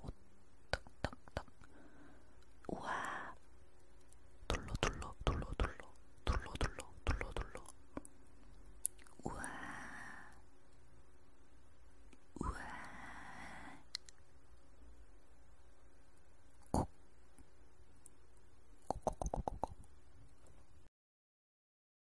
오떡떡떡 어, 우와 둘러 둘러 둘러 둘러 둘러 둘러 둘러 둘러 우와 우와 콕 콕콕콕콕콕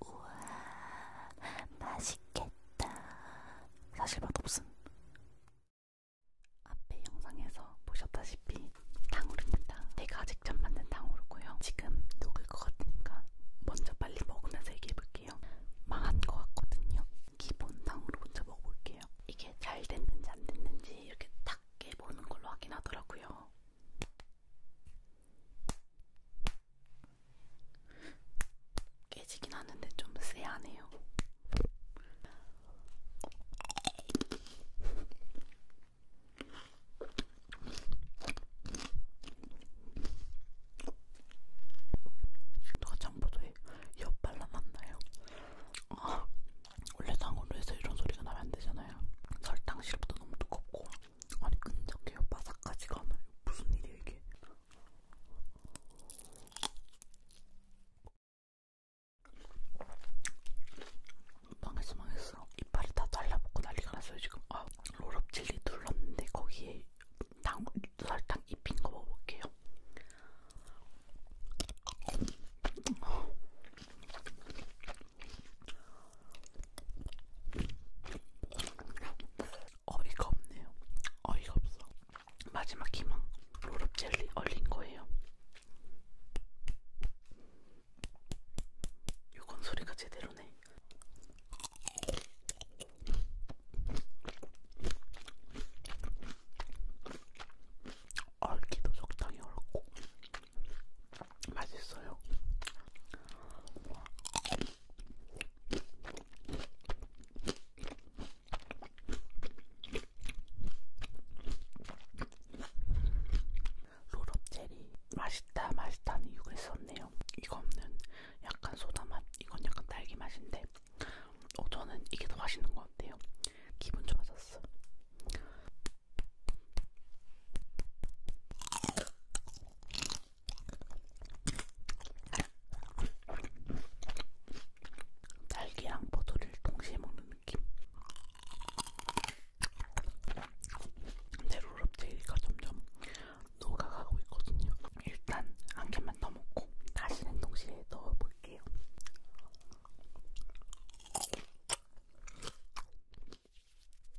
우와 맛있겠다. 사실 맛없음. 앞에 영상에서 보셨다시피 탕후루입니다. 제가 직접 만든 탕후루고요. 지금 녹을 것 같으니까 먼저 빨리 먹으면서 얘기해볼게요. 먹어볼게요. 망한 것 같거든요. 기본탕으로 먼저 먹어볼게요. 이게 잘 됐는지 안 됐는지 이렇게 탁 깨보는 걸로 확인하더라고요. 깨지긴 하는데 좀 쎄하네요. 누가 장보도에 옆발라놨나요? 아, 원래 장으로 해서 이런 소리가 나면 안 되잖아요. 설탕 시럽도 너무 두껍고 아니 끈적해요. 바삭하지가 않아요. 무슨 일이에요 이게? 망했어 망했어. 이빨이 다 잘라먹고 난리가 났어요 지금. 아, 롤업젤리 눌렀는데 거기에 당, 설탕 입힌 거 먹어볼게요. 어이가 없네요. 어이가 없어. 마지막 희망 롤업 젤리 얼린 거예요. 요건 소리가 제대로네. 얼기도 적당히 얼고 맛있어요. 롤업 체리 맛있다 맛있다는 이유가 있었네요. 이거 없는 약간 소다 맛, 이건 약간 딸기 맛인데, 어, 저는 이게 더 맛있는 것 같아요. 기분 좋아졌어. 딸기랑 버터를 동시에 먹는 느낌. 근데 롤업제이가 점점 녹아가고 있거든요. 일단 한 캔만 더 먹고 다시 냉동실에 넣어볼게요.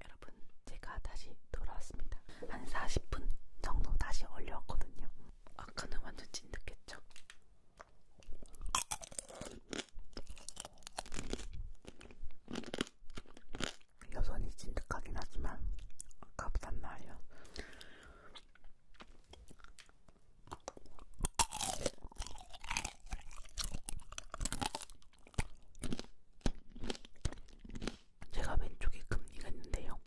여러분, 제가 다시 돌아왔습니다. 한 40분 정도 다시 얼려왔거든요. 아까는 완전 찐득했죠? 여전히 진득하긴 하지만 아깝단 말이야. 제가 왼쪽에 금리가 있는데요.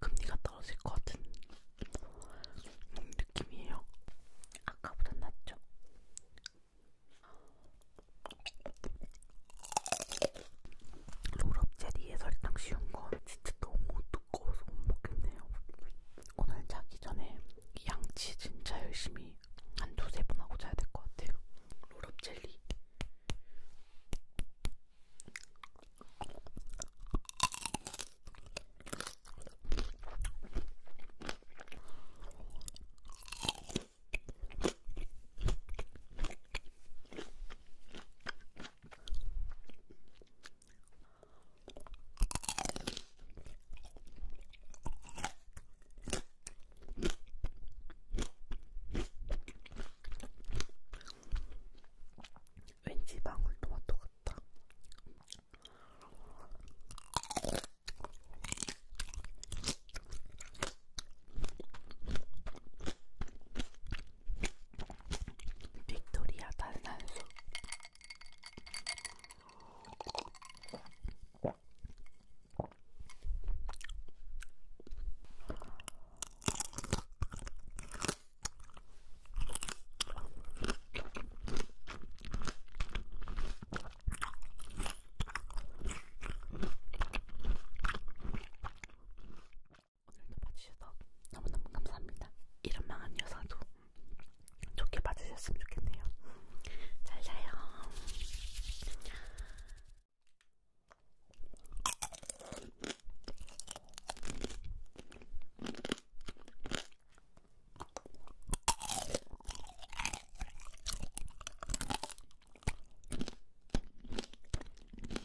금리가 떨어질 것 같은 음, 느낌이에요. 아까보다 낫죠? 롤업 젤리에 설탕 씌운 건 진짜 너무 두꺼워서 못 먹겠네요. 오늘 자기 전에 양치 진짜 열심히 한 두세 번 하고 자야 될 것 같아요. 롤업 젤리. 왠지 방울토마토 같다. 빅토리아 탄산수 오늘도 봐주셔서 너무너무 감사합니다. 이런 망한 여사도 좋게 봐주셨으면 좋겠네요. 잘 자요.